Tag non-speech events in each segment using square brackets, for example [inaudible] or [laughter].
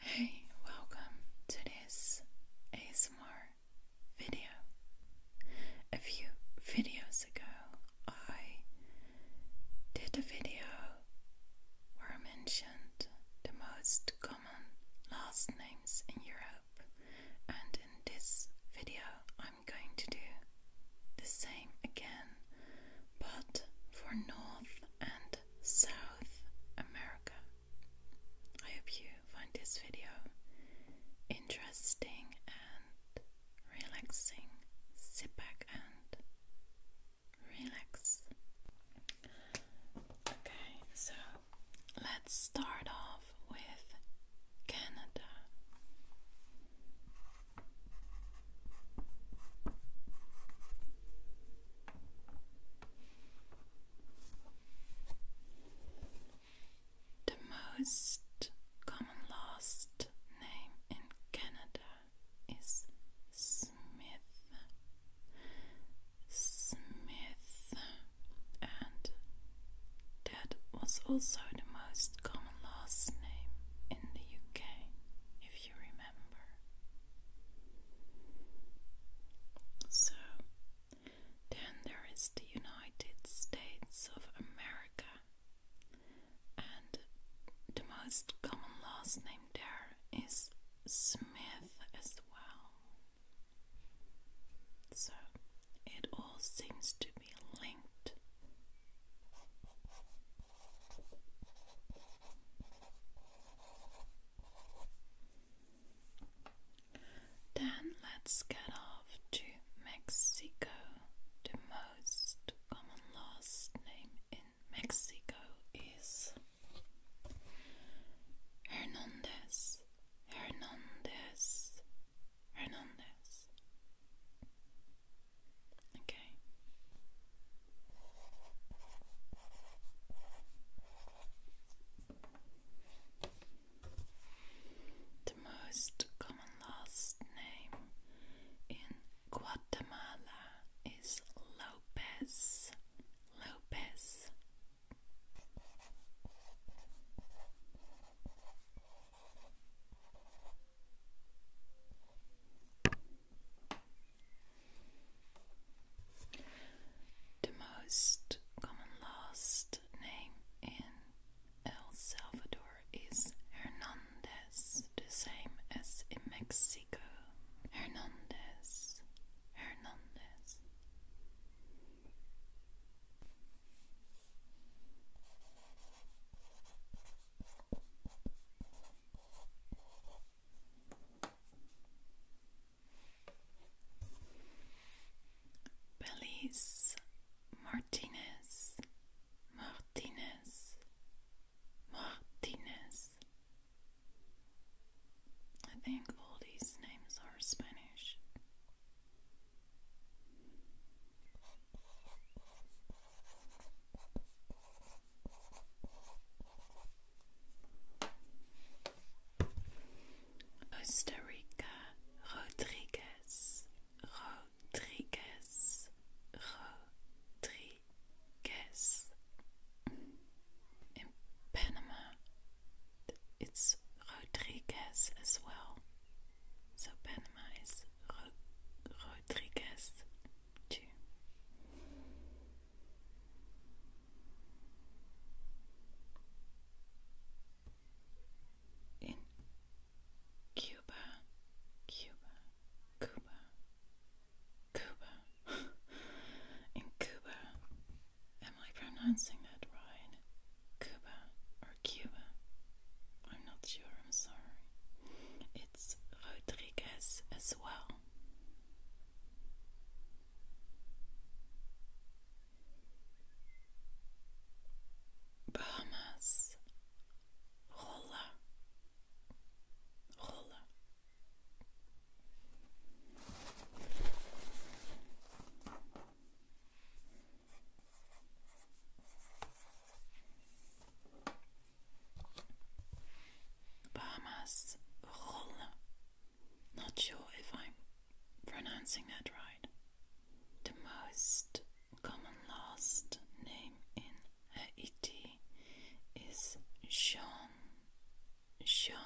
Hey, welcome to this ASMR video. A few videos ago, I did a video where I mentioned the most common last names in Europe, and in this video, I'm going to do the same again, but for North and South America. I hope you find this video interesting and relaxing. Sit back and relax. Okay, so let's start off with Canada. The most common last name in Canada is Smith, Smith, and that was also the most common last name in the UK, if you remember. So, then there is the United States of America, and the most common last name there is Smith as well. So, it all seems to be linked then let's get off to Mexico. The most common last name in Mexico is Hernandez, Hernandez, Hernandez. Okay. The most common last name in Guatemala is Lopez. Lopez. The most common last name in El Salvador is Hernandez, the same as in Mexico. Hernandez, Hernandez. Belize Martinez, Martinez, Martinez. I think all these names are Spanish. Costa Rodriguez Rodriguez Rodriguez in Panama it's Rodriguez as well so Panama is Ro Rodriguez In Cuba, Cuba, Cuba, Cuba. [laughs] In Cuba. Am I pronouncing that right? Cuba or Cuba. I'm not sure, I'm sorry. It's Rodriguez as well. Bahamas, Rolla, Rolla. Bahamas Rolle. Not sure if I'm pronouncing that right. The most common last name in Haiti is Jean. Jean.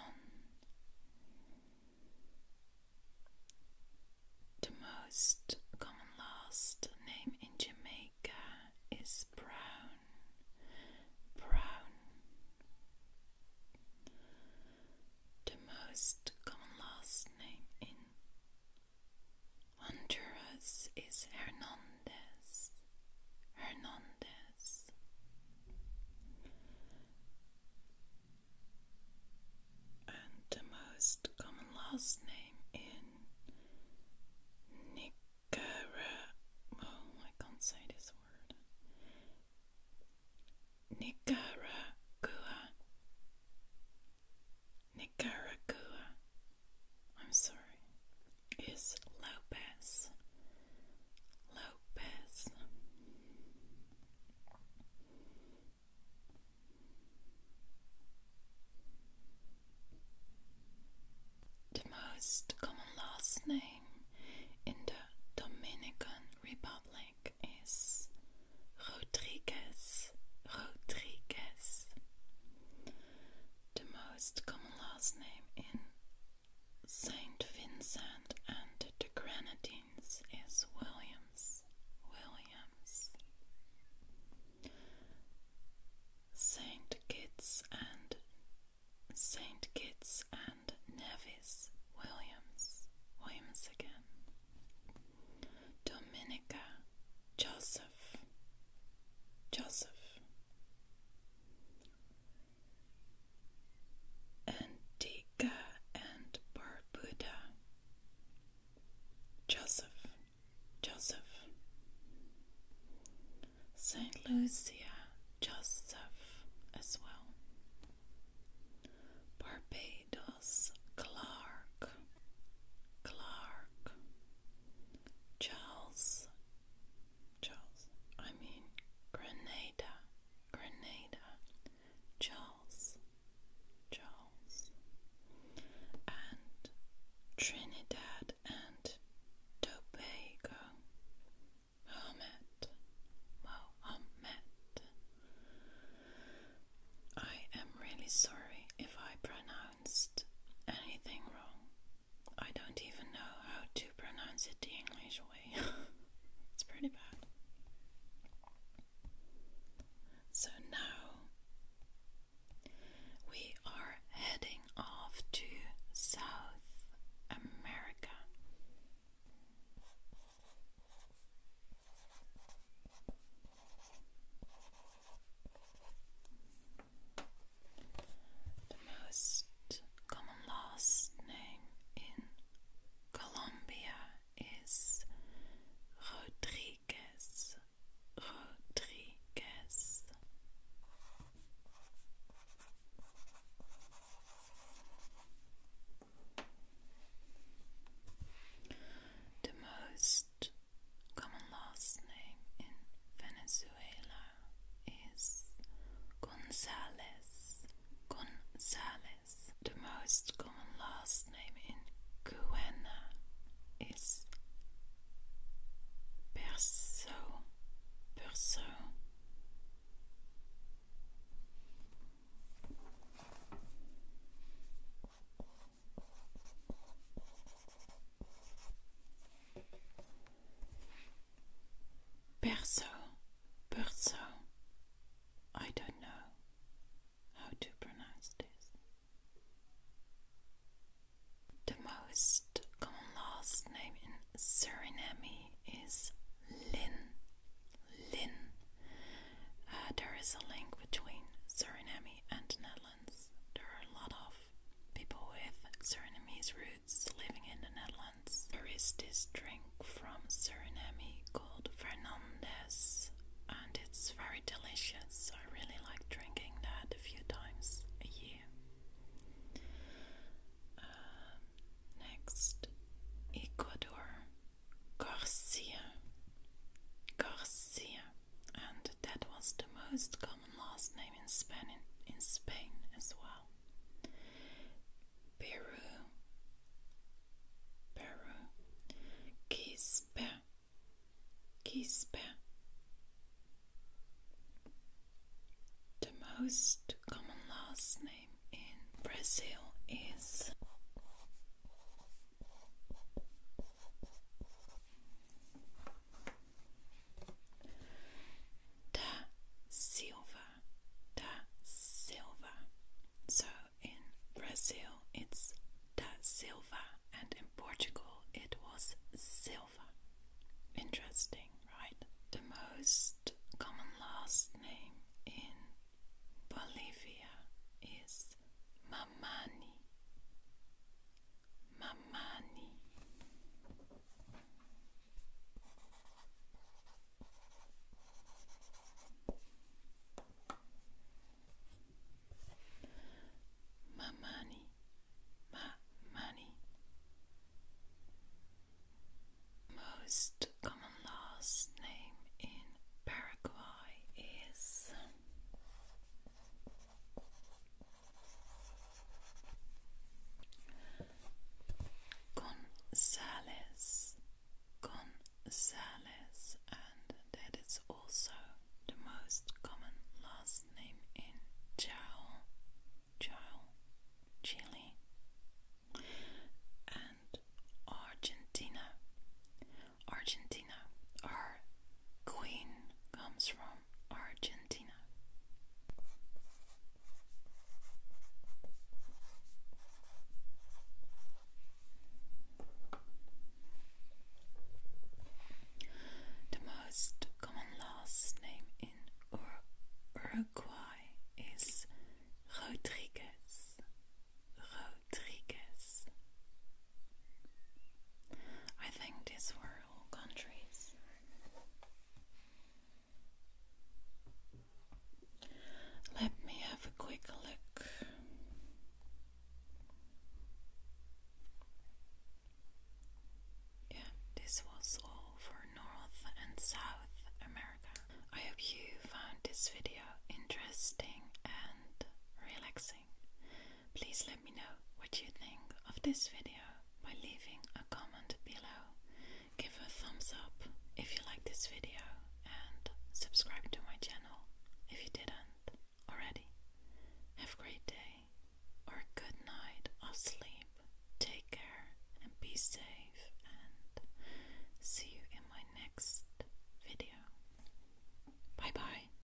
The most common last name in Jamaica is Brown. Brown. The most common last name in Honduras is Hernandez. Hernandez and the most common last name in Nicaragua. Oh, I can't say this word. Nicaragua. Nicaragua. I'm sorry. Is Lopez. Lopez. The most common last name in the Dominican Republic is Rodriguez. Rodriguez. The most common last name in Saint Vincent and the Grenadines is Williams, Williams. Saint Kitts and Saint Kitts and Nevis, Williams, Williams again. Dominica, Joseph, Joseph. And D Jamaica and Barbuda. Joseph, Joseph. Saint Lucia, Joseph as well. Barbados, Clark, Clark. Charles, Charles. I mean Grenada, Grenada. Charles, Charles, and Trinidad and Tobago, Mohammed, Mohammed. I am really sorry if I pronounced anything wrong. I don't even know how to pronounce it the English way. [laughs] it's pretty bad. So now we are heading off to South America. The most common last name in Colombia is Rodriguez, Rodriguez. The most common last name in Venezuela is Gonzalez. Gonzalez. The most common last name in Cuenca? is Perso. Perso. Perso, perso. I don't know how to pronounce this. The most common last name in Suriname is Lin. Lin. Uh, there is a link between Suriname and the Netherlands. There are a lot of people with Surinamese living in the Netherlands. There is this drink from Suriname called Fernandez, and it's very delicious. I really like drinking that a few times a year. Uh, next, Ecuador, Garcia, Garcia, and that was the most common last name in Spain, in Spain as well. Peru, Peru, Quispe, Quispe. The most common last name in Brazil is Da Silva, Da Silva. So in Brazil it's Da Silva, and in Portugal it was Silva. Interesting, right? The most common last name in Bolivia is Mamani. Mamani. Mamani, mamani. Most common last name in Paraguay is Gonzales, Gonzales, and that is also the most common last name in Chile, and Argentina. Argentina, our queen comes from Argentina. The most common last name in Uruguay is Rodriguez. Rodriguez. I think these were all countries. Let me have a quick look. Yeah, this was all for North and South America. I hope you found this video interesting and relaxing. Please let me know what you think of this video by leaving a comment below. Give a thumbs up if you like this video and subscribe to my channel if you didn't already. Have a great day or a good night of sleep. Take care and be safe and see you in my next video. Bye bye.